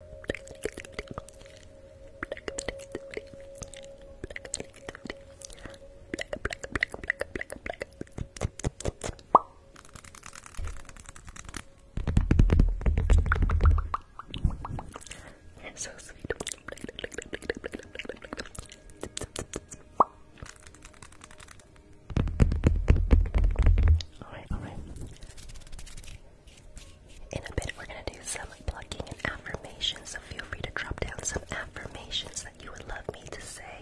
You're so sweet. Alright, alright. In a bit, we're going to do some plucking and affirmations, so feel free to drop down some affirmations that you would love me to say.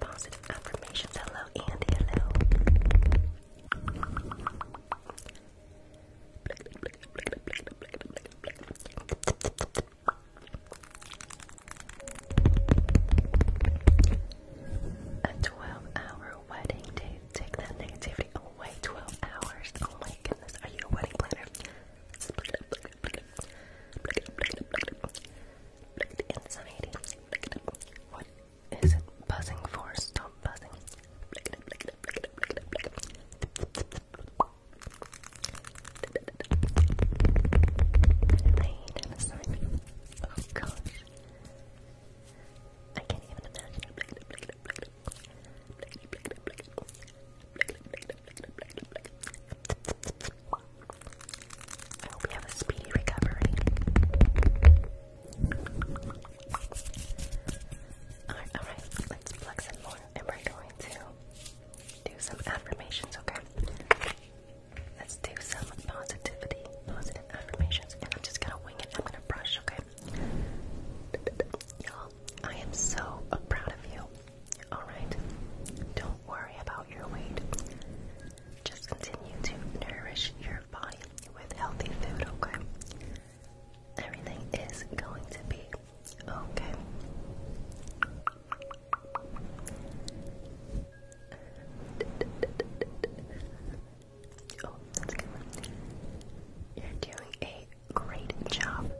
Positive affirmations. Hello, Andy. Hello. A 12-hour wedding day. Take that negativity away. 12 hours. Oh my goodness. Are you a wedding planner? Split it up. What is it buzzing for? Stop buzzing. Look it up. Oh gosh. I can't even imagine. I hope you have a speedy recovery. Alright, alright, let's plug some more and we're going to do some affirmations, okay? Let's do some positivity, positive affirmations, and I'm just gonna wing it. I'm gonna brush, okay? Y'all, I am so proud of you. Alright? Don't worry about your weight. Just continue to nourish your body with healthy food, okay? Everything is going to be okay. Oh, You're doing a great job.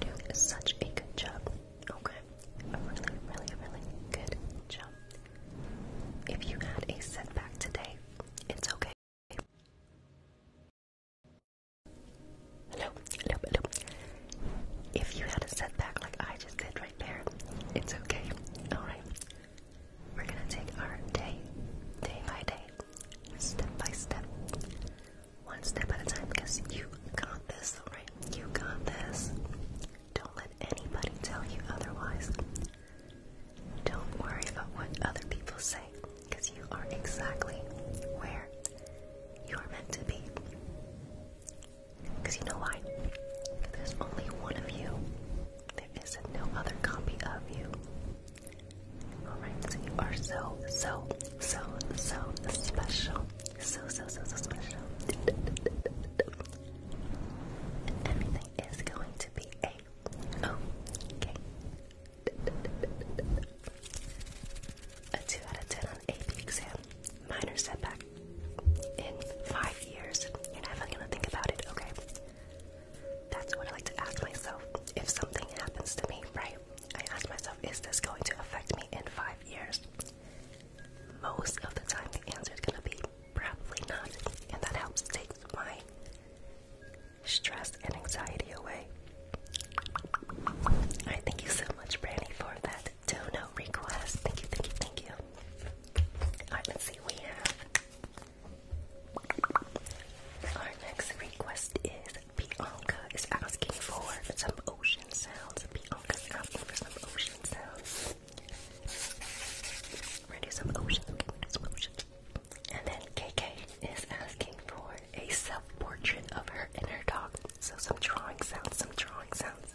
doing such a good job. Okay. A really, really, really good job. If you had a setback today, it's okay. Hello, hello, hello. If you had a setback like I just did right there, it's okay. Alright. We're gonna take our day, day by day, step by step, one step at a time because you got this, alright? You got this. Don't let anybody tell you otherwise. Don't worry about what other people say because you are exactly where you are meant to be. Because you know why? There's only one of you. There isn't no other copy of you. Alright, so you are so, so, so, so special. So, so, so, so special. And everything is going to be a okay. A 2 out of 10 on AP exam minor setback in five years. You're not even gonna think about it, okay? That's what I like to ask myself. If something happens to me, right? I ask myself, is this going to affect me in five years? Most of the time, the answer is gonna be probably not, and that helps take my stress and anxiety away. Alright, thank you so much, Brandy, for that the no request. Thank you, thank you, thank you. Alright, let's see. We have our next request is Bianca is asking for some ocean sounds. Bianca's asking for some ocean sounds. we some oceans. Okay, some oceans. And then KK is asking for a self-portrait of her inner dog. So some drawing sounds, some drawing sounds.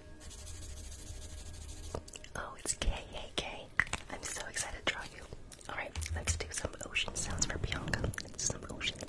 Oh, it's K. I'm so excited to draw you. Alright, let's do some ocean sounds for Bianca. Let's do some ocean sounds.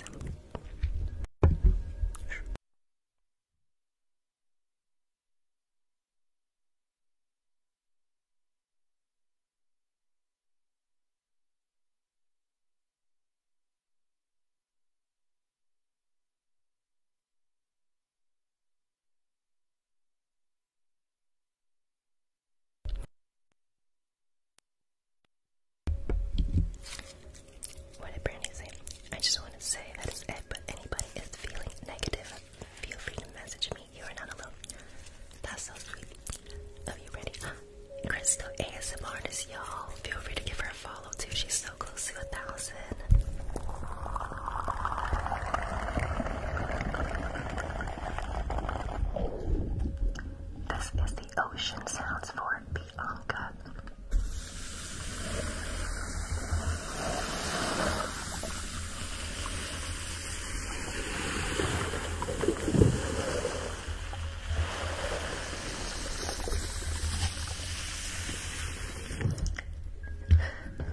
What did Brandy say? I just want to say that is it, but anybody is feeling negative, feel free to message me. You are not alone. That's so sweet. Are you, ready? Crystal ASMR is y'all. Feel free to give her a follow follow too. She's so close to a thousand. This is the ocean sounds for Bianca.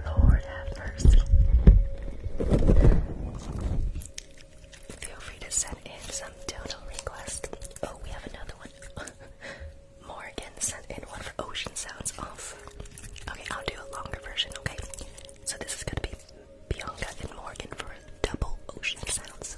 Lord have mercy. Feel free to send in some total requests. Oh, we have another one. Morgan sent in one for ocean sounds off. Okay, I'll do a longer version, okay? So this is gonna be Bianca and Morgan for double ocean sounds.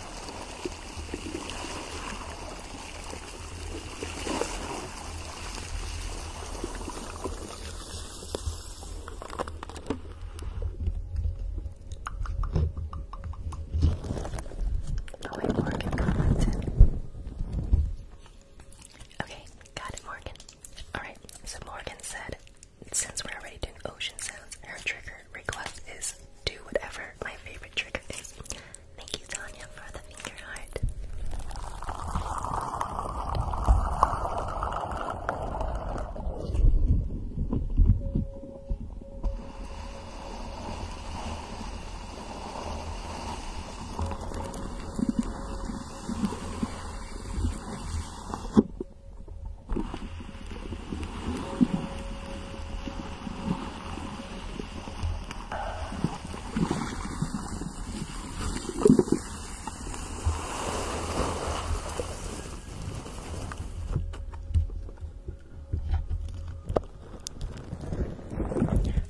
Oh Morgan Okay, got it, Morgan. Alright, so Morgan said, since we're already doing ocean sounds, her trigger request is do whatever my favorite trigger is. Thank you, Tanya, for the finger heart.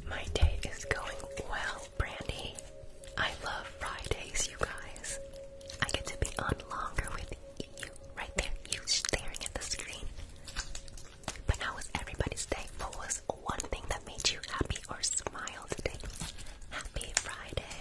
My day is going well, Brandy. I love Fridays, you guys. I get to be on longer with you right there, you staring at the screen. But how was everybody's day? What was one thing that made you happy or smile today? Happy Friday.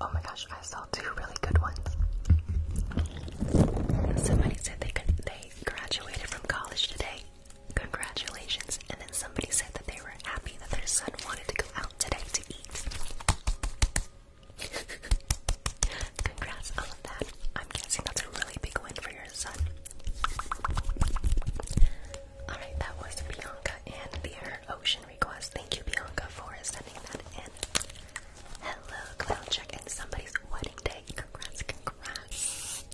Oh my gosh, I saw two really good ones. Somebody said they could, they graduated from college today. Congratulations. And then somebody said that they were happy that their son wanted to go out today to eat. Congrats, I that. I'm guessing that's a really big win for your son. Alright, that was Bianca and their ocean request. Thank you, Bianca, for sending that in. Hello, cloud check and somebody's wedding day. Congrats, congrats.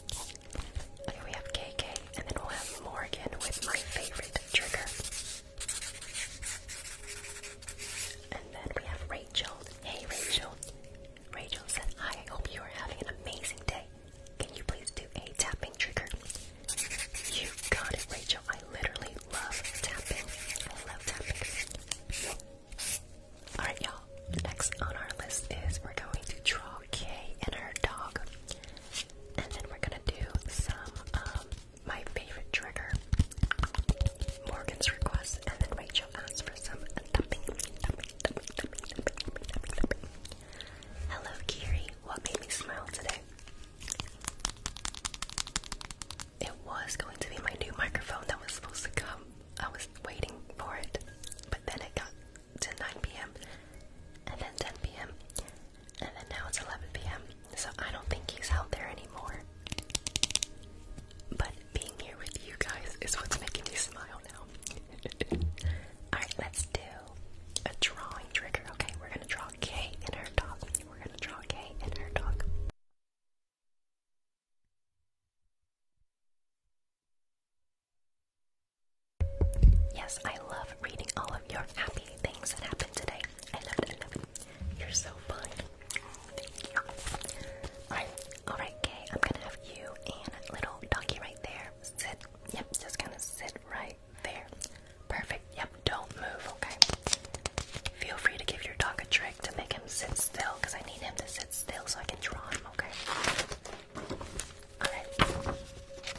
Okay, we have KK, and then we'll have Morgan with my favorite trigger. And then we have Rachel. Hey Rachel. Rachel said, I hope you are having an amazing day. Can you please do a tapping trigger? You got it, Rachel. I literally love tapping. I love tapping. Alright, y'all. Next on our list is we're going to draw Kay and her dog. And then we're gonna do some um my favorite trigger, Morgan's request, and then Rachel asked for some thumping, thumping, Hello, Kiri. What made me smile today? It was going to be my new microphone that was supposed to come. I was waiting for it, but then it got to 9 p.m. and then 10 p.m. And then now it's 11 p.m., so I don't think he's out there anymore. But being here with you guys is what's making me smile now. Alright, let's do a drawing trigger. Okay, we're gonna draw K in her dog. We're gonna draw K in her dog. Yes, I love reading all of your happy things that happened today. I love it, You're so fun. Alright, alright, I'm gonna have you and little doggy right there. Sit. Yep, just gonna sit right there. Perfect. Yep, don't move, okay? Feel free to give your dog a trick to make him sit still, I need him to sit still so I can draw him, okay? Alright.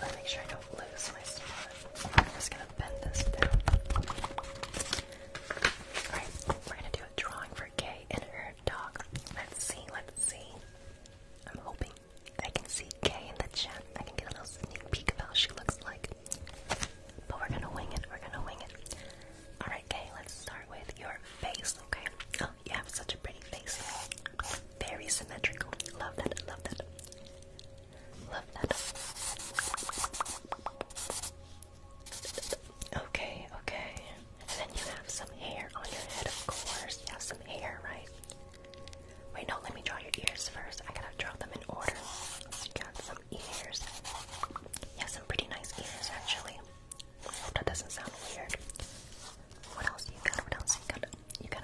Let's make sure I don't lose my spot. just gonna Alright, we're gonna do a drawing for Kay and her dog. Let's see, let's see. I'm hoping I can see Kay in the chat. I can get a little sneak peek of how she looks like. But we're gonna wing it, we're gonna wing it. Alright, Kay, let's start with your face, okay? Oh, you have such a pretty face. Very symmetrical. Love that, love that. Okay, okay. then you have some hair on your head, of course. You have some hair, right? Wait, no, let me draw your ears first. I gotta draw them in order. You got some ears. You have some pretty nice ears, actually. that doesn't sound weird. What else you got? What else you got? You got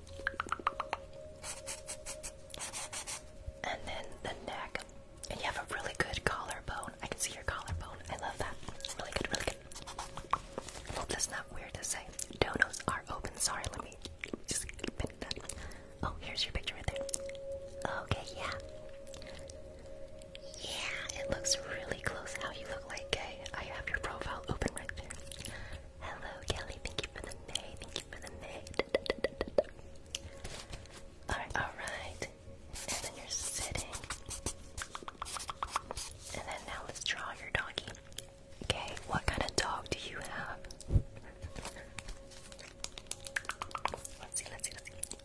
And then the neck. And you have a really good collarbone. I can see your collarbone. I love that. Really good, really good. hope that's not weird to say. Donos are open. Sorry, let me just pin that. Oh, here's your picture right there. Okay, yeah. Yeah, it looks really close how you look like gay. I have your profile open right there. Hello, Kelly. Thank you for the nay. Thank you for the nay. All right, all right. And then you're sitting. And then now let's draw your doggy. Okay, what kind of dog do you have? Let's see, let's see, let's see.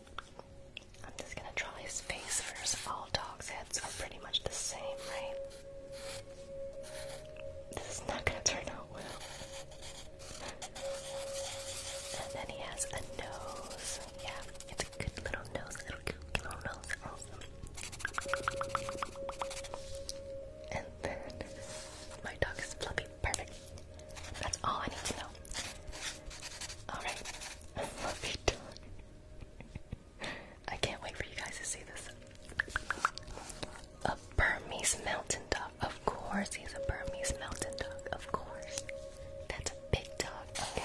I'm just gonna draw his face first. All dogs' heads are pretty much the same, right? This is not gonna turn out well. And then he has a nose. Yeah, it's a good little nose, little cute little nose. And then my dog is fluffy. Perfect. That's all I need to know. Alright. Fluffy dog. I can't wait for you guys to see this. A Burmese mountain dog. Of course, he's a Burmese mountain dog. Of course. That's a big dog. Okay.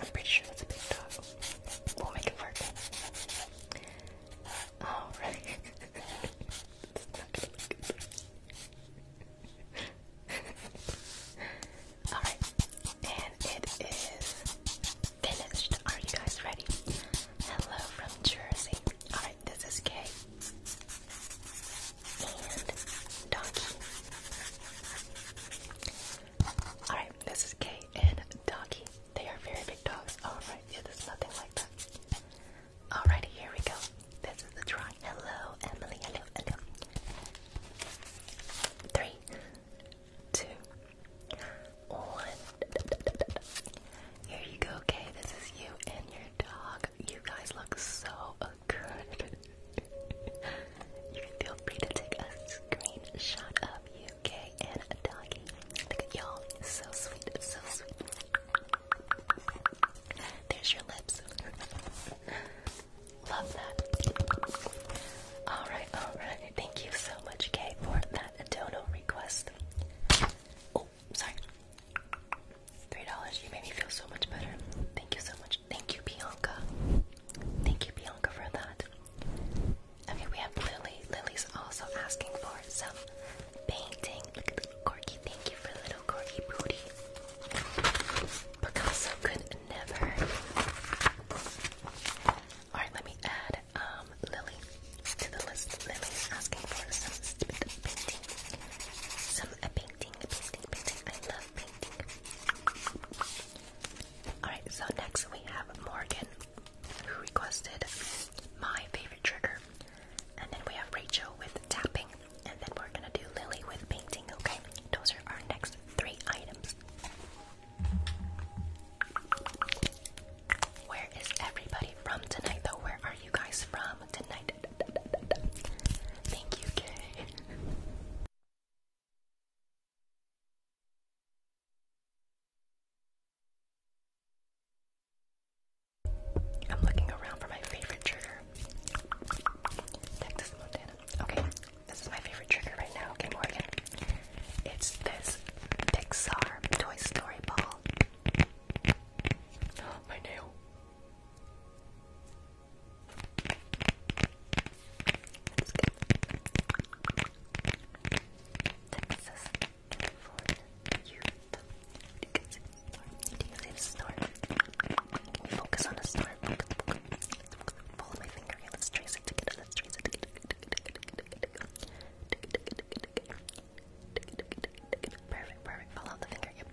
I'm pretty sure that's a big dog. We'll make it work. Alright. Alright. And it is finished. Are you guys ready? Hello from Jersey. Alright, this is Kay. And Donkey. Alright, this is Kay and Donkey. They are very big dogs. Alright, yeah, there's nothing like that. Alrighty, here we go. This is the drawing. Hello, Emily. Hello, hello. Three, two, one. Here you go, okay? This is you and your dog. You guys look so good. you can feel free to take a screenshot of you, okay? And a doggy. y'all. So sweet. So sweet. There's your lips. Love that. Alright, alright. Thank you so much, Kay, for that a dono request. Oh, sorry. Three dollars. You made me feel so much better. Thank you so much. Thank you, Bianca. Thank you, Bianca, for that. Okay, we have Lily. Lily's also asking for some painting. Look at little Corky. Thank you for little Corky booty. Picasso could never. Alright, let me add um, Lily to the list. Lily asking for some painting. Some painting, painting, painting. I love painting. Alright, so next we have Morgan, who requested my favorite trigger. And then we have Rachel with tapping. And then we're gonna do Lily with painting, okay? Those are our next three items. Where is everybody from tonight, though? Where are you guys from tonight? Thank you, Kay. I'm looking around for my favorite trigger. Texas, Montana. Okay, this is my favorite trigger right now. Okay, Morgan. It's this Pixar Toy Story ball. My nail. Let's get Texas focus on a star? Follow my finger Let's trace it. Let's trace it. Perfect, perfect. Follow the finger.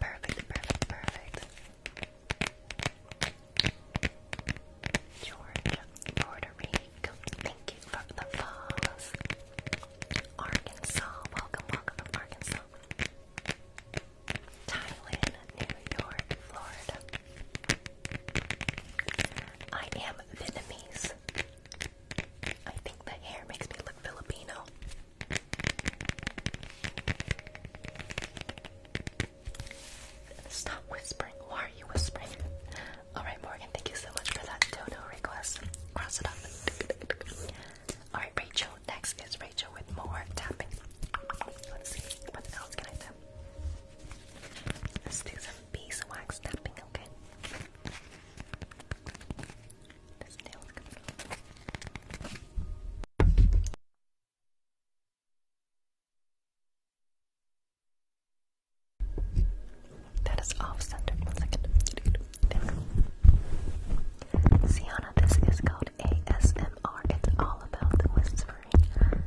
Perfect, perfect, perfect. Georgia, Puerto Rico. Thank you for the follows. Arkansas, welcome, welcome from Arkansas. Thailand, New York, Florida. I am Vietnamese. I think the hair makes me look Filipino. Stop whispering. Why are you whispering? Alright, Morgan, thank you so much for that dodo request. Cross it off. Alright, Rachel. Next is Rachel with more tapping. Let's see. What else can I tap? Let's do some beeswax tapping, okay? That is off center. One second. Sienna, this is called ASMR. It's all about the whispering.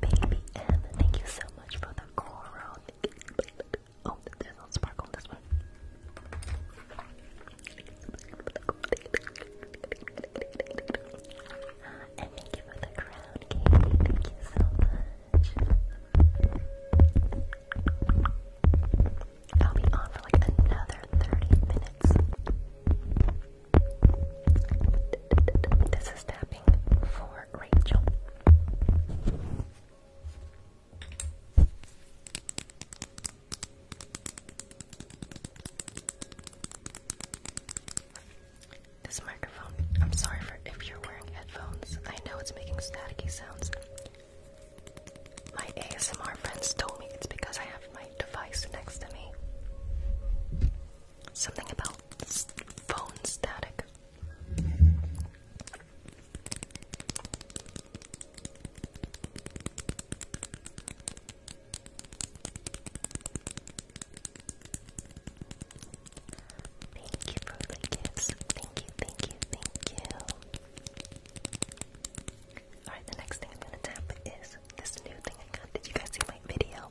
Baby M, thank you so much for the coral. Oh, there's no sparkle on this one. Uh, and thank you for the crown, Thank you so much. I'll be on for like another 30 minutes. This is tapping for Rachel. This microphone, I'm sorry for if you're wearing headphones. I know it's making staticky sounds. My ASMR friends told me it's because I have my device next to me. Something about phone static. Thank you for the gifts. Thank you, thank you, thank you. Alright, the next thing I'm gonna tap is this new thing I got. Did you guys see my video?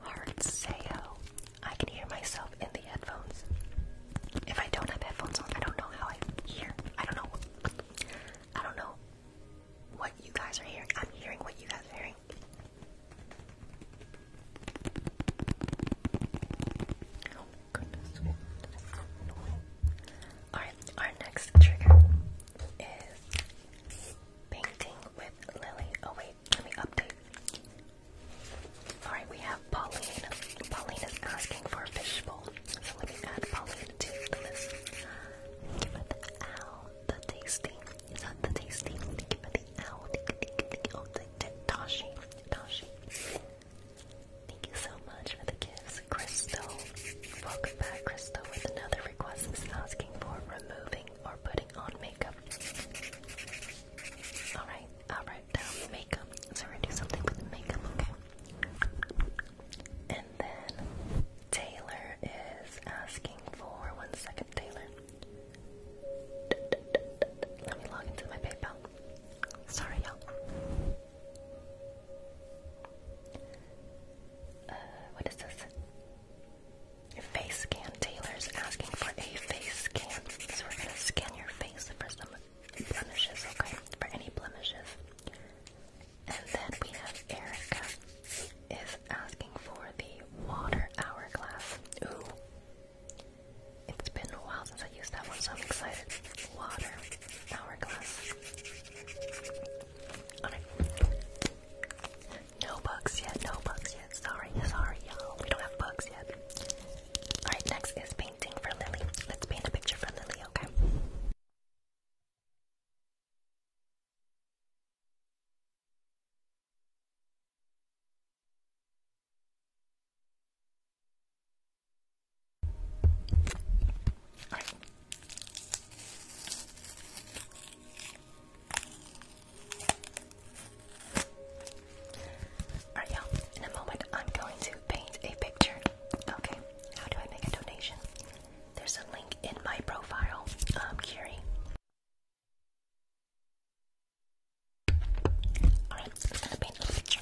Hard sayo. I can hear myself in the headphones. If I don't have headphones on, I don't know how I hear. I don't know. I don't know what you guys are hearing. I'm hearing what you guys are hearing. Oh goodness. Alright, our next trigger is painting with Lily. Oh wait, let me update. Alright, we have Pauline. Pauline is asking for a fishbowl. So let me add Pauline to the list. Give it the owl, the tasty. Is that the tasty? Give it the owl. Oh, the, the Tashi. Tashi. Thank you so much for the gifts, Crystal. Welcome back, Crystal, with another request is asking for removing or putting on makeup. Alright, alright, now makeup. So we do something with the makeup, And then Taylor is asking for one second, Taylor. Let me log into my PayPal. Sorry, you Uh, what is this? face scan. Taylor's asking for a face scan. So we're gonna scan your face for some blemishes, okay? For any blemishes. And then we have Erica is asking for the water hourglass. Ooh. It's been a while since I used that one, so I'm excited. Water hourglass. Alright. No bugs yet, no bugs yet. Sorry, sorry, y'all. We don't have books yet. Alright, next is painting for Lily. Let's paint a picture for Lily, okay? Alright. Alright, y'all. In a moment, I'm going to paint a picture. Okay. How do I make a donation? There's a link in my profile. Um, Curie. Alright, I'm gonna paint a picture.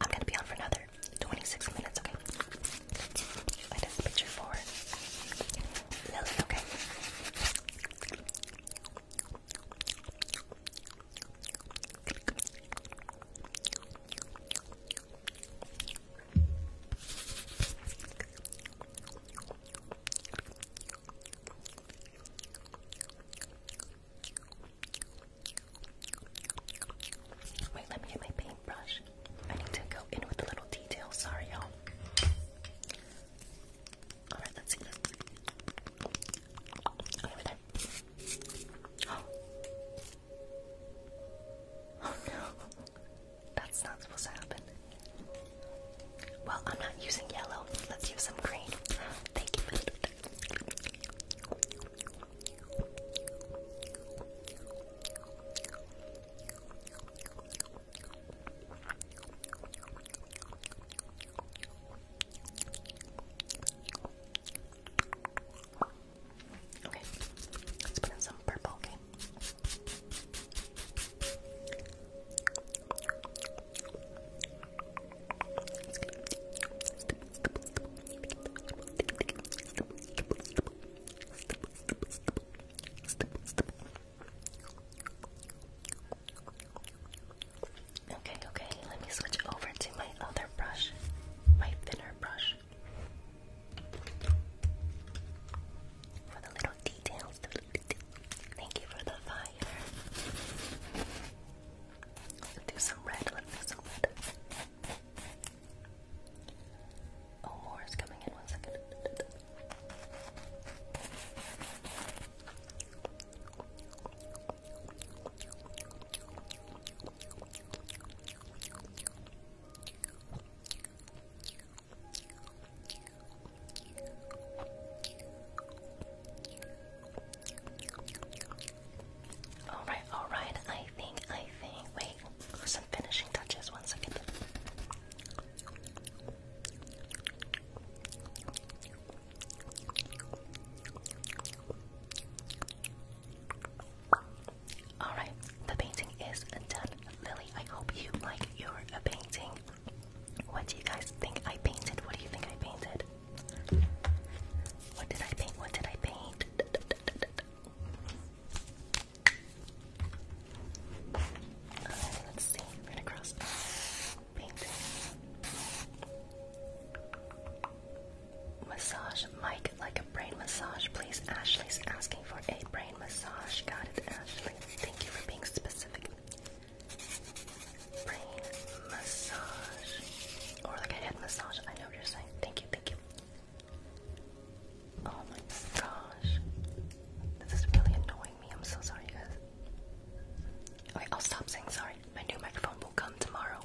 I'm gonna be on for another 26 minutes, okay? I did picture for Lily, okay? Wait, let me get my paintbrush. I need to go in with the little details. Sorry, y'all. Alright, let's see oh no. That's not supposed to happen. Well, I'm not using yellow. Let's use some green. Thank you. Okay, let's put in some purple, okay? Okay, okay, let me switch over to my other brush, my thinner brush. For the little details, Thank you for the fire. do some red, let's do some red. Oh, more is coming in one second. All right, all right. I think, I think. Wait, some finishing touches. One second. Alright, the painting is done. Lily, I hope you like your painting. What do you guys think I painted? What do you think I painted? What did I paint? What did I paint? let's see. Right across. Massage Mike like a brain massage, please. Ashley's asking for a brain massage. Got it, Ashley. Thank you for being specific. Brain massage. Or like a head massage. I know what you're saying. Thank you, thank you. Oh my gosh. This is really annoying me. I'm so sorry, guys. Alright, I'll stop saying sorry. My new microphone will come tomorrow.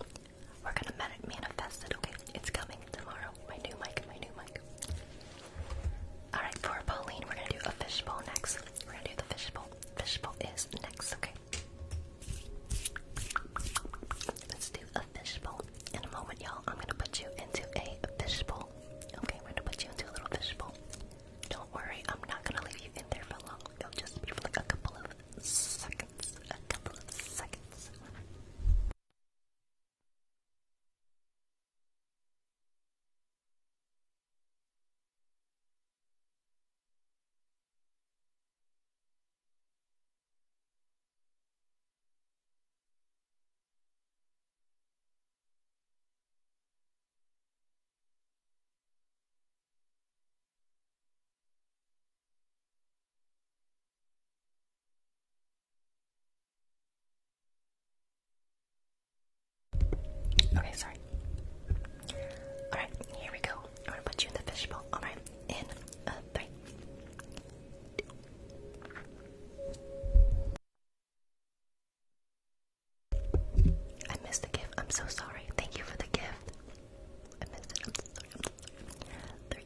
We're gonna manifest it, okay? It's coming tomorrow. My new mic, my new mic. Alright, for Pauline, we're gonna do a fishbowl next. We're gonna do the fishbowl. Fishbowl is next, okay? Let's do a fishbowl. In a moment, y'all, I'm gonna put you into a fishbowl. Okay, we're gonna put you into a little fishbowl. Don't worry, I'm not gonna leave you in there for long. It'll just be for like a couple of seconds. A couple of seconds. Okay, sorry. Alright, here we go. I'm gonna put you in the fishbowl. Alright, in a I missed the gift. I'm so sorry. Thank you for the gift. I missed it. I'm so sorry. i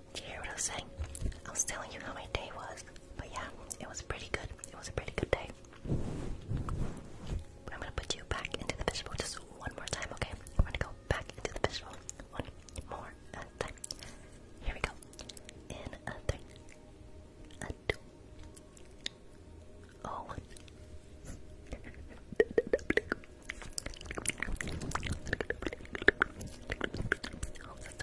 Do you hear what I was saying? I was telling you how my day was, but yeah, it was pretty good. It was a pretty good day. But I'm gonna put you back into the fishbowl just one more time, okay? I'm gonna go back into the fishbowl one more uh, time. Here we go. In a three, a two, oh one.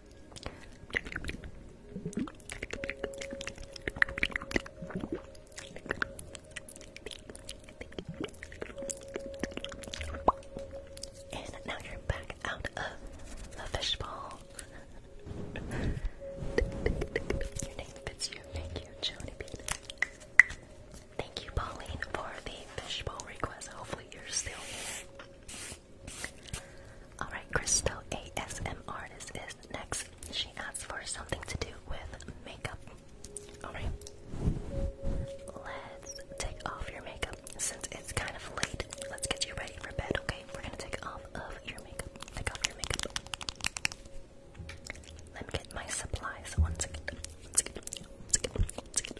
And now you're back out of the fishbowl. your name fits you. Thank you, Joni Bean. Thank you, Pauline, for the fishbowl request. Hopefully, you're still here. Alright, Crystal ASM artist is next. She asked for something to do with makeup. Alright. Let's take off your makeup. Since it's kind of late, let's get you ready for bed, okay? We're gonna take off of your makeup. Take off your makeup. Let me get my supplies one second. One second. One second. One second.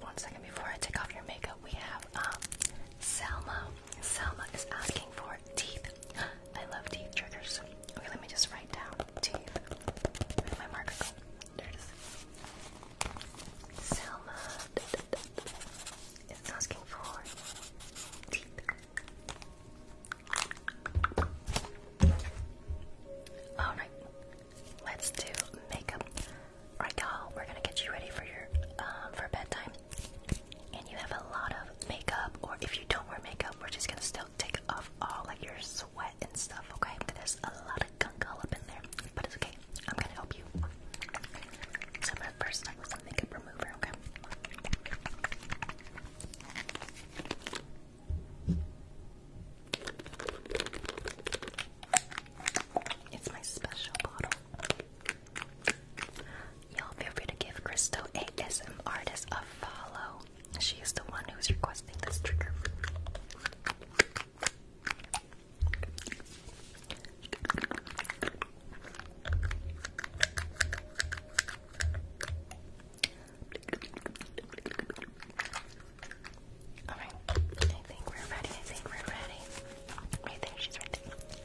one second before I take off your makeup, we have um, Selma. Selma is asking for teeth. I love teeth triggers. Okay, let me just write down teeth. Where my marker oh, There it is. Selma is asking for teeth. Alright, let's do makeup. Right now, we're gonna get you ready for your um, for bedtime, and you have a lot of makeup. Or if you don't wear makeup, we're just gonna still take off all like your sweat and stuff. Okay, there's a lot of gunk all up in there, but it's okay. I'm gonna help you. So I'm gonna first up with some makeup remover. Okay. It's my special bottle. Y'all feel free to give Crystal ASM artist a follow. She is the one who's requesting this trigger. Alright, I think we're ready. we're ready. I think she's right there.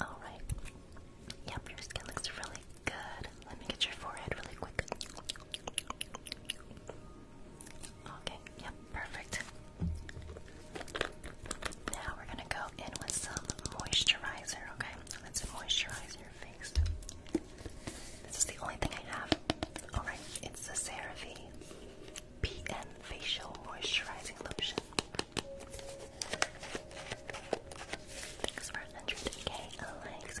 All right. Yep, your skin looks really good. Let me get your forehead really quick. Okay, yep, perfect. Now we're gonna go in with some moisturizer, okay? Let's moisturize your face. This is the only thing I have. Alright, it's the CeraVe PN Facial Moisturizing Lotion. Thanks for 100k likes.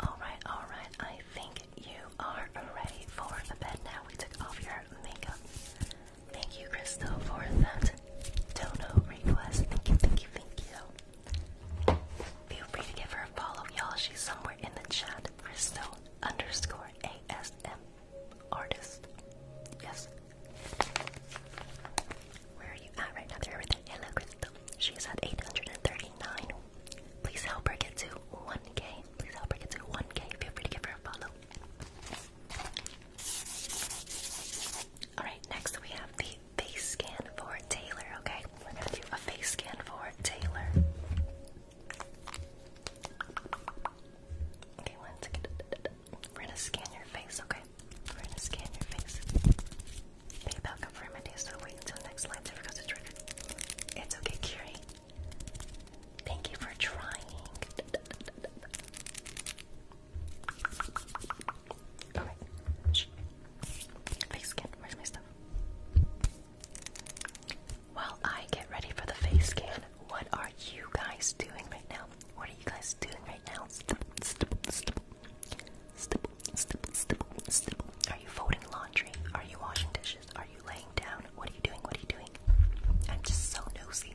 All right, all right. I think you are ready for the bed now. We took off your makeup. Thank you, Crystal, for that dono request. Thank you, thank you, thank you. Feel free to give her a follow, y'all. She's somewhere in the chat. Crystal underscore ASM artist. Yes. Where are you at right now? There everything. Hello, Crystal. She's at 839. Please help her get to 1k. Please help her get to 1k. Feel free to give her a follow. Alright, next we have the face scan for Taylor, okay? We're gonna do a face scan for Taylor. Okay, one second. We're gonna scan your face, okay? We're gonna scan your face. PayPal confirmity, so wait until next line ever goes to trigger. It's okay, Curie. Thank you for trying. Okay. Face scan. Where's my stuff? While I get ready for the face scan, what are you guys doing right now? What are you guys doing right now? Are you folding laundry? Are you washing dishes? Are you laying down? What are you doing? What are you doing? I'm just so nosy.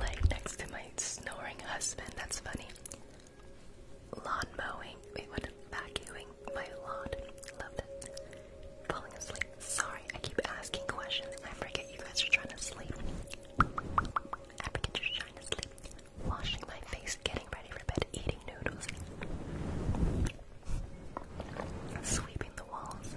Lay next to my snoring husband. That's funny. Lawn mowing. Wait, what? Vacuuming my lawn. Love that. Falling asleep. Sorry, I keep asking questions I forget you guys are trying to sleep. I forget you're trying to sleep. Washing my face, getting ready for bed, eating noodles, sweeping the walls,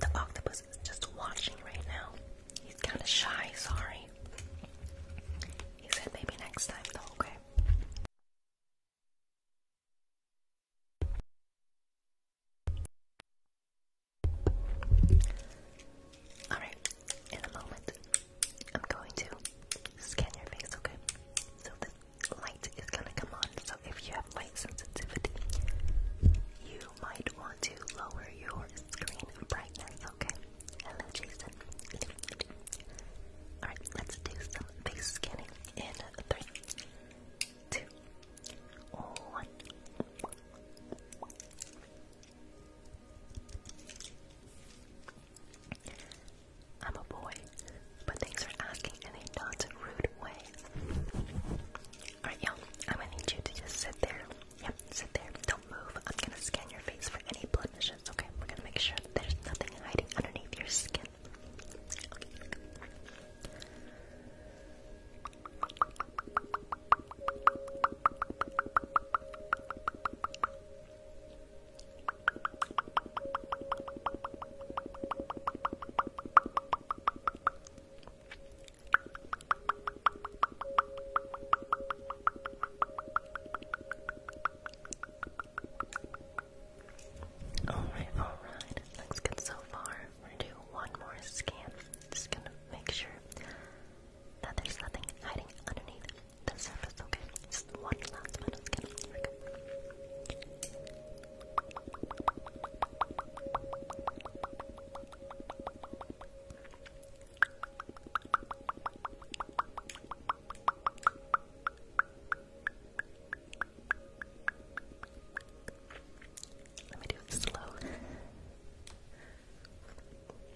the octopus is just watching right now. He's kind of shy, sorry. He said maybe next time, though, okay? Alright, in a moment, I'm going to scan your face, okay? So the light is gonna come on. So if you have light sensitivity, you might want to lower your screen brightness, okay? Hello, Jason. Alright, let's do some face scanning in three, two, one. I'm a boy, but things are asking in a not rude way. Alright, y'all, I'm gonna need you to just sit there. Yep, sit there. Don't move. I'm gonna scan your face for any blemishes, okay? We're gonna make sure there's nothing hiding underneath your skin. Alright, alright. Looks good so far. We're gonna do one more scan. Just gonna make sure that there's nothing hiding underneath the surface, okay? Just one last bit skin. Let me do it slow.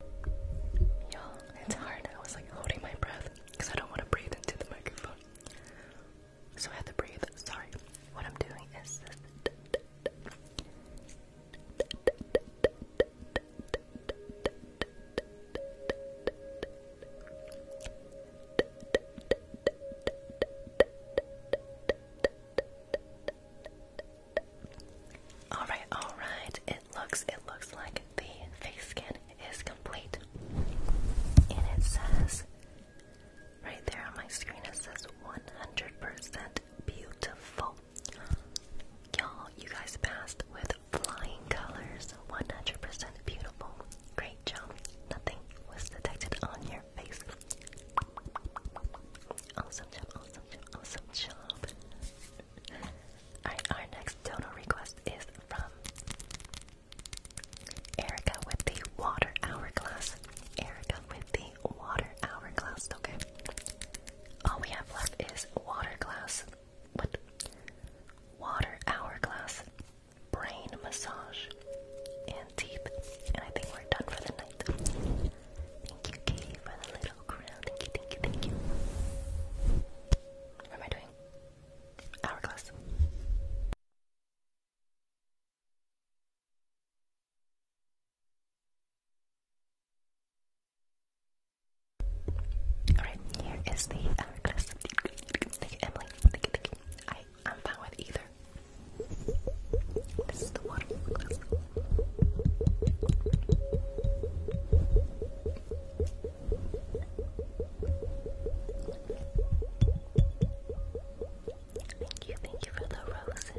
Y'all, it's hard. I was like holding my breath because I don't want to breathe into the microphone. So I had to breathe. Sorry. What I'm doing is this. Alright, alright. It looks it looks like the face scan is complete. And it says right there on my screen it says 100% beautiful. Y'all, you guys passed with flying colors. 100% beautiful. Great job. Nothing was detected on your face. Awesome job, awesome job, awesome job our next dono request is from Erica with the water hourglass. Erica with the water hourglass, okay. All we have left is water glass. What? Water hourglass, brain massage, and teeth. And I think we're done for the night. Thank you, Katie, for the little crown. Thank you, thank you, thank you. What am I doing? Hourglass. Alright, here is the hourglass. Thank you, Emily. Thank you, thank you. I, I'm fine with either. This is the water Thank you, thank you for the roses.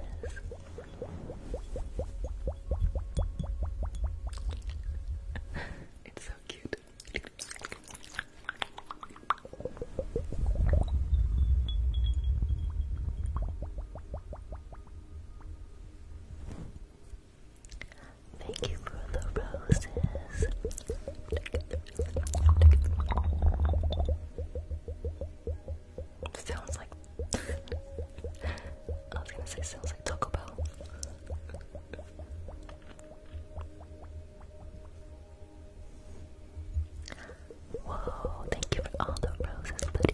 it's so cute. Thank you for the roses. Sounds like I was gonna say sounds like Taco Bell. Whoa, thank you for all the roses, buddy.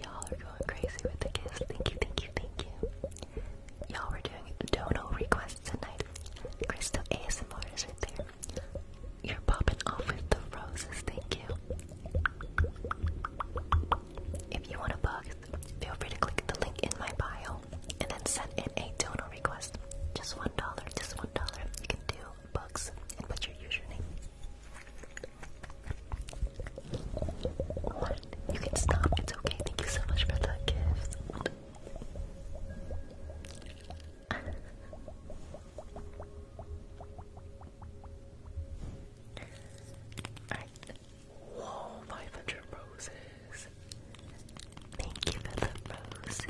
Y'all are going crazy with the kiss. Thank you, thank you, thank you. Y'all were doing dono requests tonight. Crystal ASMR is right there. You're popping off with the roses. Thank you. If you want a bug, feel free to click the link in my bio and then send in a dono request. Just one dollar, just one dollar. You can do bugs and put your username. You can stop. It's okay. Thank you so much for that gift. Alright. 500 roses. Thank you for the roses.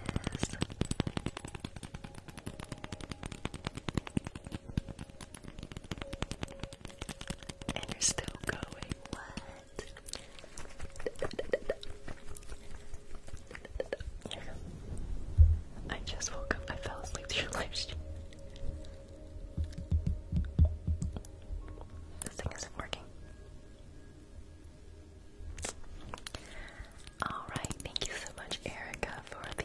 And you're still going. What? I just woke up. I fell asleep to your This thing isn't working. Alright, thank you so much, Erica, for the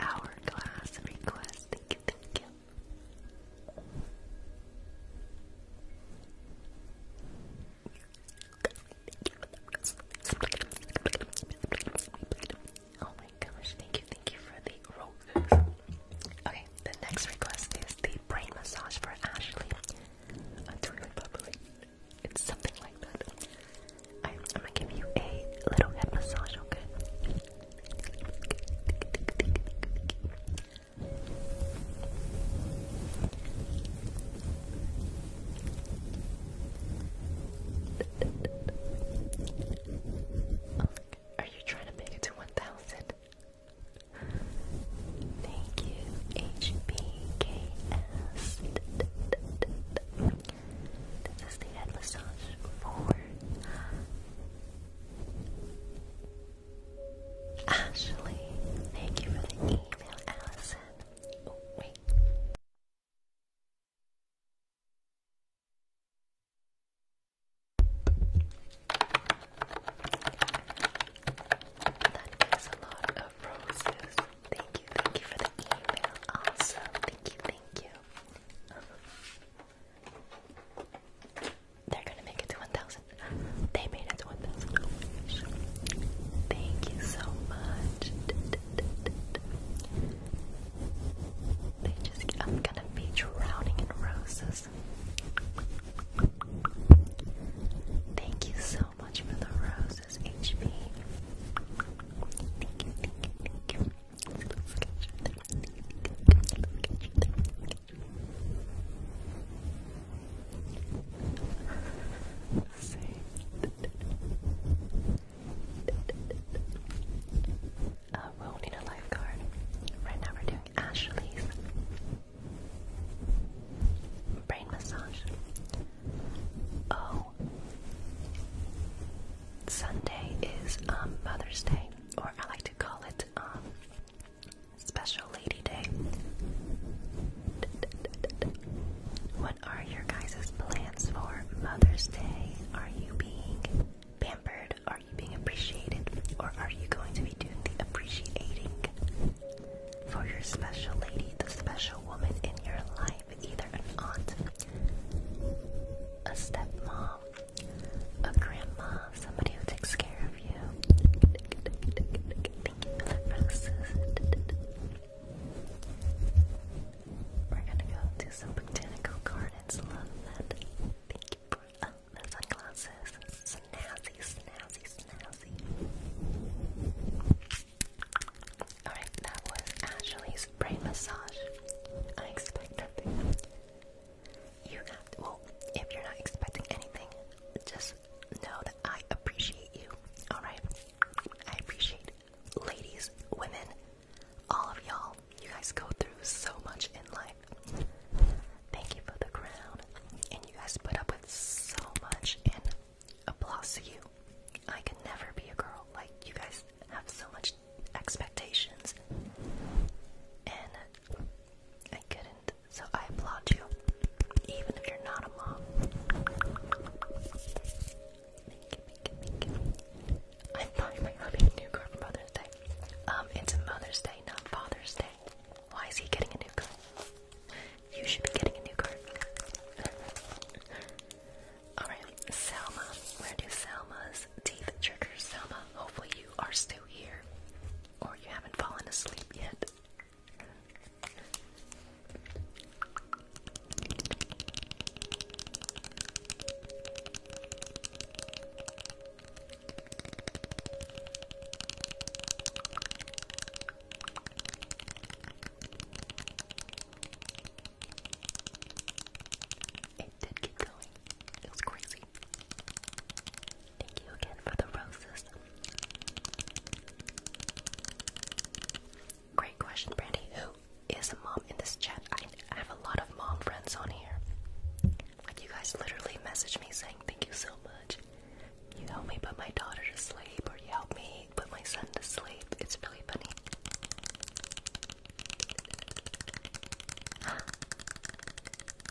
hourglass request. Thank you, thank you. Oh my gosh, thank you, thank you for the roses. Okay, the next request is the brain massage for Ashley. That's really bubbly. It's something like that. I'm gonna give you a little head massage, okay? are you trying to make it to 1000? Thank you, HBKS. This is the head massage for Ashley, thank you for the email, Allison. Oh, wait. That is a lot of roses. Thank you, thank you for the email. Awesome. Thank you, thank you. They're gonna make it to 1,000. They made it to 1,000. Thank you so much. They just, I'm gonna be drowning in roses. Thank you so much for the roses, HP. Uh, we'll need a lifeguard. Right now we're doing Ashley's brain massage. Oh, Sunday is um, Mother's Day or I like to call it um, Special Lady Day. What are your guys' plans for Mother's Day? Are you being pampered? Are you being appreciated? Or are you going to be doing the appreciating for your special lady, the special woman in your life? Either an aunt, a stepmom, a grandma, somebody who takes care of you. We're gonna go do some botanical gardens. Love that. Thank you for uh, the sunglasses. Snazzy, snazzy, snazzy. Alright, that was Ashley's brain massage. I expect you have to, well, if you're not expecting anything, just know that I appreciate you, alright? I appreciate ladies, women, all of y'all. You guys go through so much in life. Thank you for the crown. And you guys put up with so much, and applause to you. I can never be a girl. Like, you guys have so much expectations, and I couldn't. So I applaud you, even if you're not a mom. I'm buying my hubby a new car for Mother's Day. Um, it's Mother's Day, not Father's Day. Why is he getting a new car? You should be getting a new car. Alright, Selma. Where do Selma's Six teeth triggers. Selma, hopefully you are still here, or you haven't fallen asleep yet did keep going. It was crazy. Thank you again for the roses. Great question, Brandy. Who is a mom in this chat? I have a lot of mom friends on here. Like, you guys literally message me saying, Thank you so much. You help me put my daughter to sleep, or you help me put my son to sleep. It's really funny.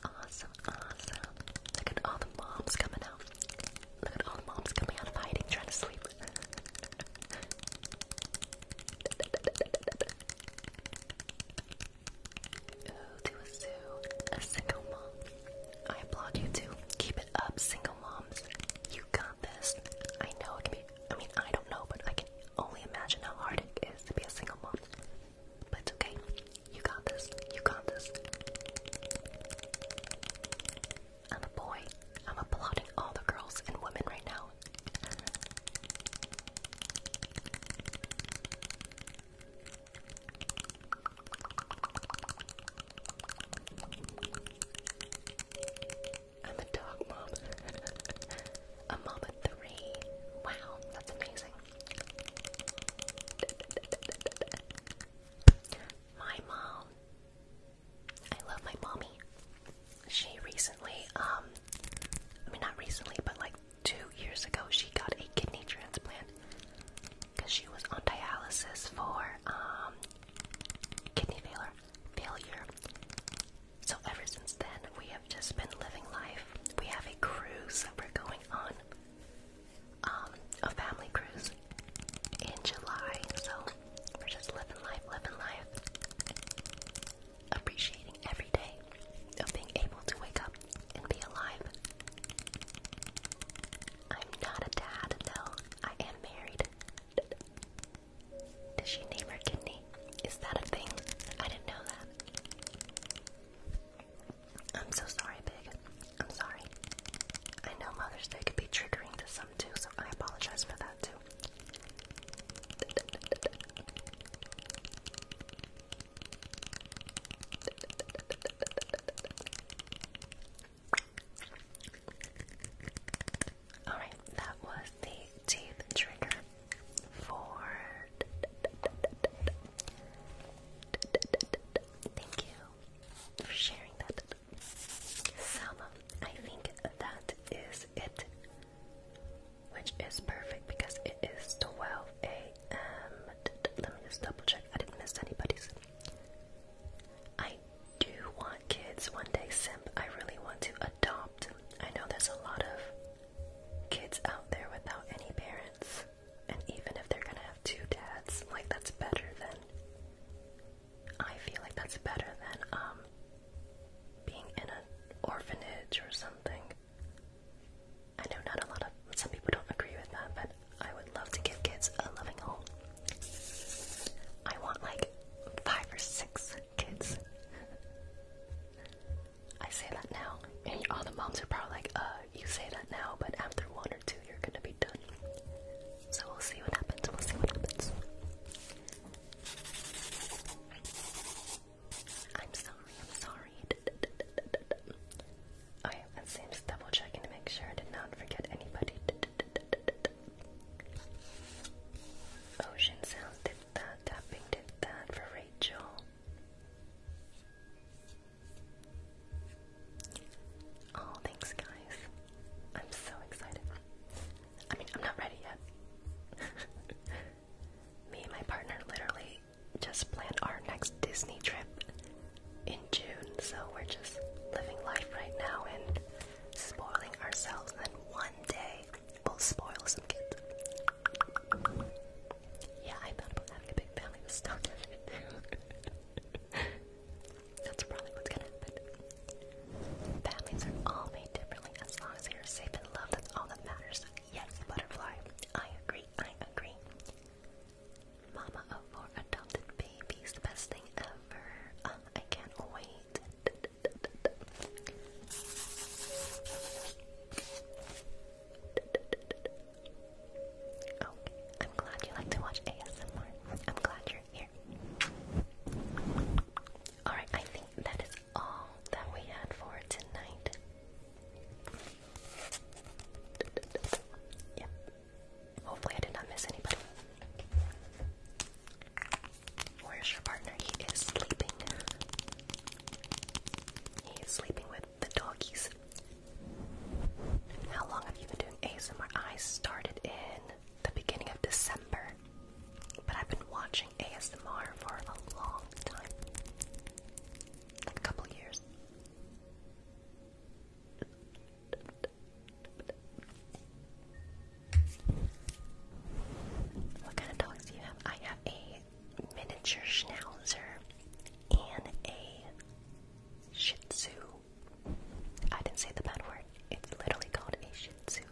Awesome, awesome. Look at all the moms coming out. Look at all the moms coming out of hiding, trying to sleep. Ooh, to a zoo. A single mom. I applaud you too. Keep it up, single moms. You got this. I know it can be I mean I don't know, but I can only imagine how hard it is to be a single mom. But it's okay. You got this. You got this. I'm a boy. I'm applauding all the girls and women right now. I'm a dog mom. A mama three. Wow, that's amazing. My mom. I love my mommy. She recently, um, I mean, not recently, but like two years ago, she got a kidney transplant because she was on dialysis for um, kidney failure. Failure, so ever since then, we have just been living life. We have a cruise that we're going on, um, a family cruise in July. So we're just living life, living life, appreciating every day of being able to wake up and be alive. I'm not a dad, though. I am married. Does she name her kidney? Is that a thing? I didn't know that. I'm so sorry, Pig. I'm sorry. I know Mother's Day could be triggering to some too, so I apologize for that too. Alright, that was the teeth trigger. Ford. Thank you for sharing that. Some, I think that is it, which is perfect because it is 12 a.m. Let me just double check. I didn't miss anybody's. I do want kids one day, Simp. I really want to adopt. I know there's a lot of kids out there without any parents. And even if they're gonna have two dads, like that's better than I feel like that's better than um being in an orphanage or something. I know not a lot of some people don't agree with that, but I would love to give kids a loving home. I want like five or six kids. I say that now, and all the moms are probably like, uh, you say that now, but after one or two, you're gonna be done. So we'll see what happens, we'll see what happens. I'm sorry, I'm sorry. Okay, let's see, I'm just double checking to make sure I did not forget anybody. Ocean Sounds did that, tapping did that for Rachel. Oh, thanks, guys. I'm so excited. I mean, I'm not ready yet. Me and my partner literally just planned our next Disney trip in June, so we're just living life right now and spoiling ourselves. And one day We'll spoil some kids. Yeah, I thought about having a big family That's probably what's gonna happen. Families are all made differently as long as they are safe and loved. That's all that matters. Yes, butterfly. I agree. I agree. Mama of four adopted babies. The best thing ever. Um, I can't wait. Okay, oh, I'm glad you like to watch ASMR. I'm glad you're here. Alright, I think that is all that we had for tonight. Yep. Hopefully, I did not miss anybody. Where's your partner? He is sleeping. He sleeping with the doggies. How long have you been doing ASMR? I started in the beginning of December, but I've been watching ASMR for a long time a couple years. What kind of dogs do you have? I have a miniature schnauzer, and a shih tzu. I didn't say the bad word. It's literally called a shih tzu.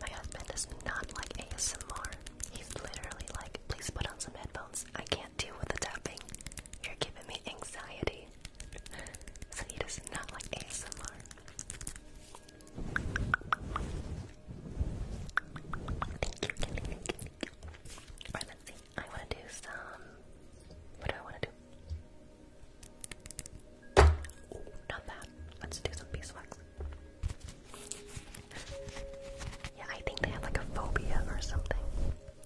My husband does not like ASMR. He's literally like, please put on some headphones. I can't deal with the tapping. You're giving me anxiety. so he does not like ASMR. Thank you, let's see. I want to do some. What do I want to do? not that. Let's do some beeswax. yeah, I think they have like a phobia or something.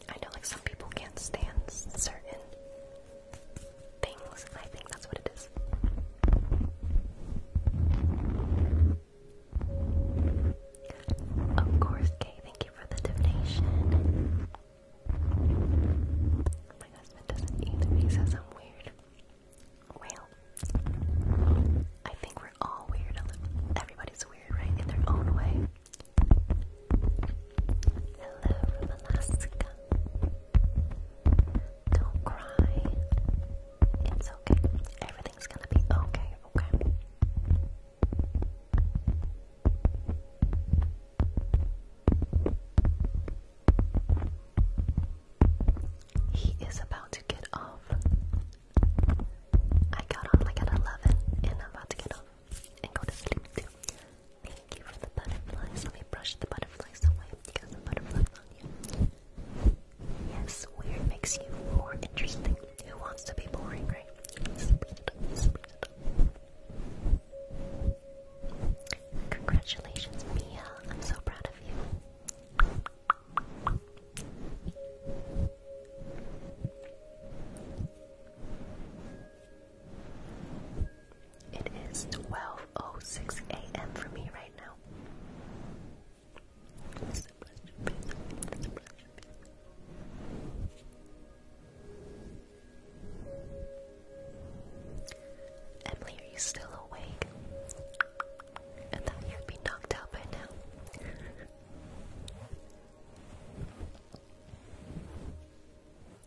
I know like some people can't stand certain things. I think that's what it is. Of course, Kay, thank you for the donation. My husband doesn't either, he says I'm weird. Well, I think we're all weird. Everybody's weird, right? In their own way. Hello Alaska. Don't cry. It's okay. Everything's gonna be okay, okay? He is about to get off. I got on like at 11 and I'm about to get off and go to sleep Thank you for the butterflies. Let me brush the butterflies away because the butterflies Yes, weird makes you more interesting. Who wants to be boring, right? Congratulations, Mia. I'm so proud of you. It is 12.06 a.m. for me right now. Emily, are you still awake? I thought you'd be knocked out by now.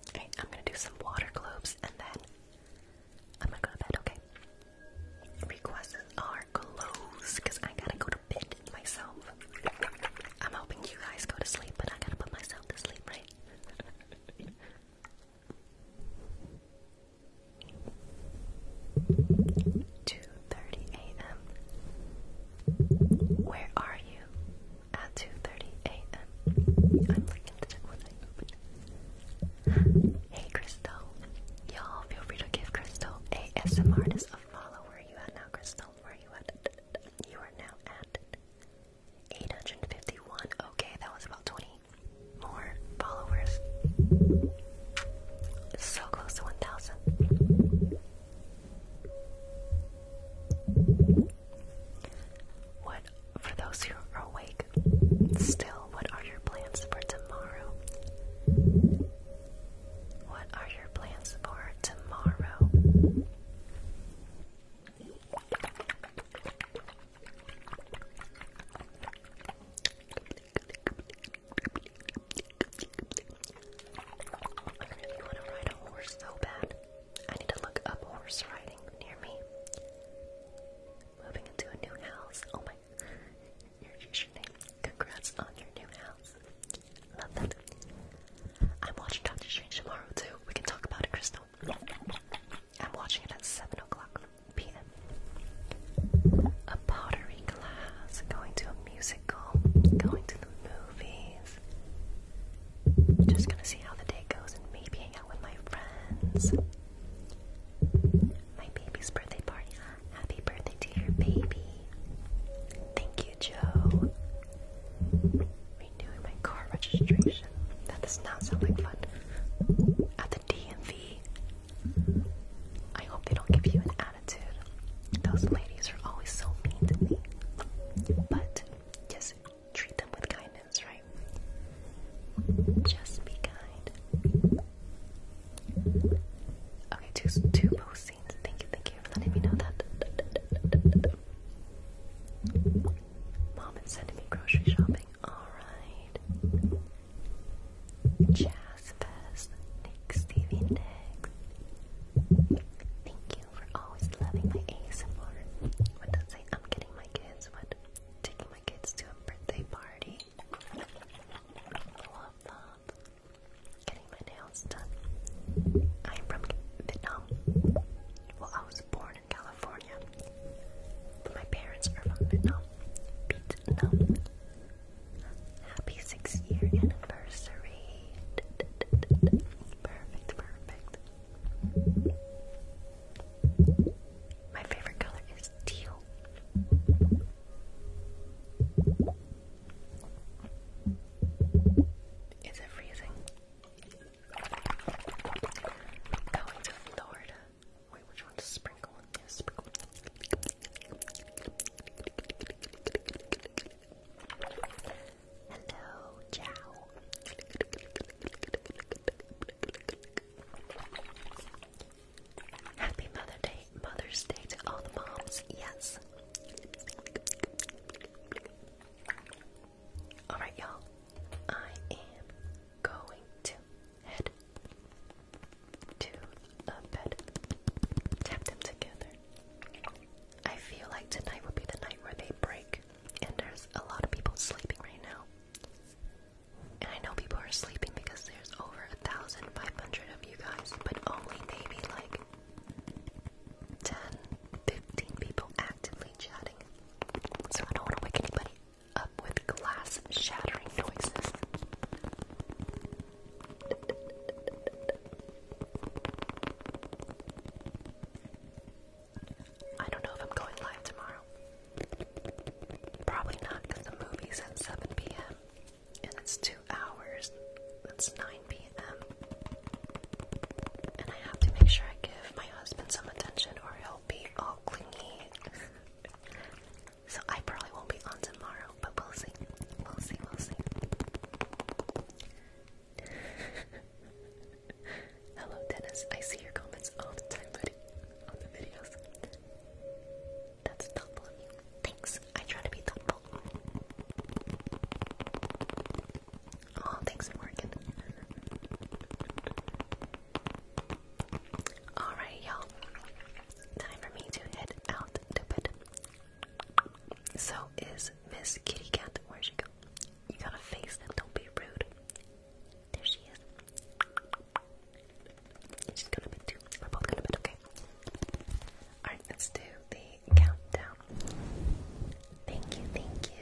okay, I'm gonna do some water globes and then I'm gonna go to bed, okay? requests are closed because I gotta go to bed myself. I'm hoping you guys go to sleep, but I gotta put myself to sleep, right? Two thirty a.m. Where are you? At two thirty a.m. Hey Crystal. Y'all feel free to give Crystal a ASM as a follower. Where are you at now, Crystal? Where you at? You are now at 851. Okay, that was about 20 more followers. So close to 1,000. What, for those who are awake, still, what are your plans for tomorrow? What are your plans for tomorrow? I really want to ride a horse so bad. I need to look up horse riding near me. Moving into a new house. Oh my Congrats on your new house. Love that. I'm watching Doctor Strange tomorrow too. We can talk about it, Crystal. I'm watching it at 7 o'clock p.m. A pottery class, going to a musical, going to the movies. Just gonna see how the day goes and maybe hang out with my friends. My baby's birthday party. Happy birthday to your baby. Thank you, Joe. Renewing my car registration. That does not sound like fun. At the DMV. I hope they don't give you an attitude. Those ladies are always so mean to me. But just treat them with kindness, right? Just be kind. Okay, two, two post scenes. Thank you, thank you for letting me know that. Mom is sending me grocery shopping. Alright. Jazz Fest. Nick Stevie Nick. Thank you for always loving my ASMR. What does it say? I'm getting my kids. What? Taking my kids to a birthday party. Love that getting my nails done. I'm from Vietnam. Well, I was born in California, my parents are from Vietnam. Vietnam. Happy six-year anniversary. Perfect, perfect. My favorite color is steel. Is it freezing? Going to Florida. Wait, which one sprinkle? Yeah, sprinkle. Hello, ciao. Happy Mother Day, Mother's Day to all the moms. Yes. All right, y'all. I am going to head to a bed. Tap them together. I feel like tonight would be the night where they break, and there's a lot of people sleeping right now. And I know people are sleeping because there's over 1,500 of you guys, but only maybe like 10, 15 people actively chatting. So I don't want to wake anybody up with glass shattering noises. I don't know if I'm going live tomorrow. Probably not because the movie's at 7 p.m and it's two hours. That's 9 p.m. And I have to make sure I give my husband some attention or he'll be all clingy. so I probably won't be on tomorrow, but we'll see. We'll see, we'll see. Hello, Dennis. I see your comments all the time, buddy, on the videos. That's thoughtful Thanks. I try to be thoughtful. Oh, thanks, Morgan. Alright, y'all. Time for me to head out to bed. So is Miss Kitty Cat. Where'd she go? You gotta face them. Don't be rude. There she is. She's to bed too. We're both going to be okay? Alright, let's do the countdown. Thank you, thank you.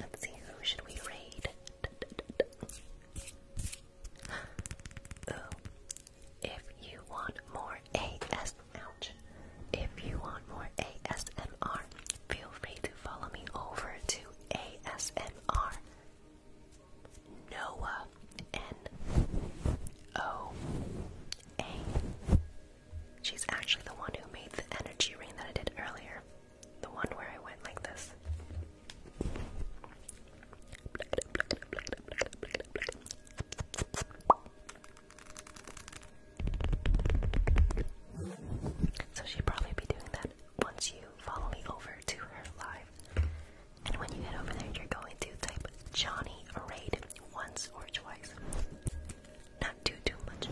Let's see, who should we raid? Ooh. If you want more AS, ouch. If you want more ASMR, feel free to follow me over to ASMR Noah N O A. She's actually the one who made the energy ring that I did earlier. The one where I went like this. So she'll probably be doing that once you follow me over to her live. And when you head over there, you're going to type Johnny Raid once or twice. Not too, too much.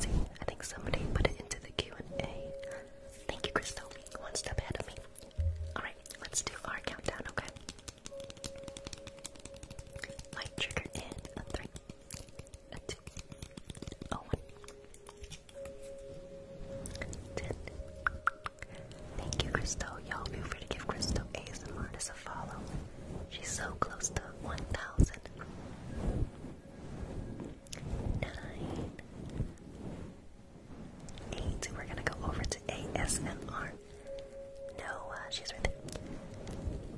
see, I think somebody put it into the Q&A. Thank you, Crystal. One step ahead of me. Alright, let's do our countdown, okay? Light trigger in a Thank you, Crystal. Y'all feel free to give Crystal ASMR as a follow. She's so close to 1,000. Nine. Eight. We're gonna go over to ASMR. Noah, she's right there.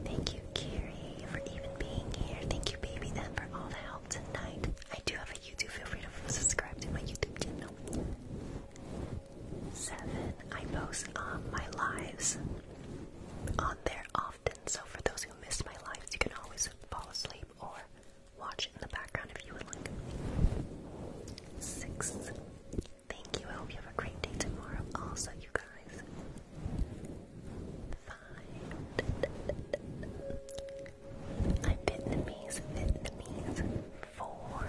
Thank you, Kiri, for even being here. Thank you, Baby M, for all the help tonight. I do have a YouTube. Feel free to subscribe to my YouTube channel. Seven, I post um, my lives on there often, so for those who miss my lives, you can always fall asleep or watch it in the background if you would like. Six, thank you. I hope you have a great day tomorrow, also, you guys. Five, I'm Vietnamese, Vietnamese. Four,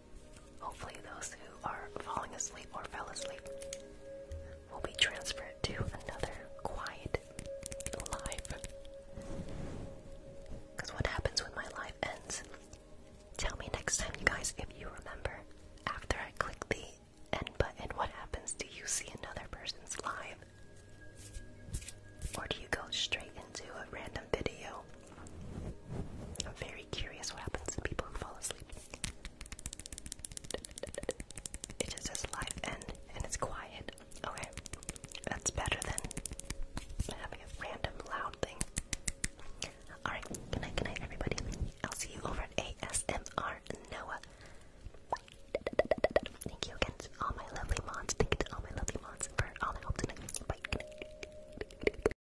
Hopefully, those who are falling asleep or fell asleep will be transferred to another quiet life. Because what happens when my life ends? Tell me next time, you guys, if you remember. After I click the end button, what happens? Do you see another person's live? Or do you go straight into a random video? very curious what happens to people who fall asleep. It just says live end and it's quiet. Okay, that's better than having a random loud thing. Alright, good night, good night, everybody. I'll see you over at ASMR Noah. Thank you again to all my lovely mods. Thank you to all my lovely mods for all the help tonight. Bye.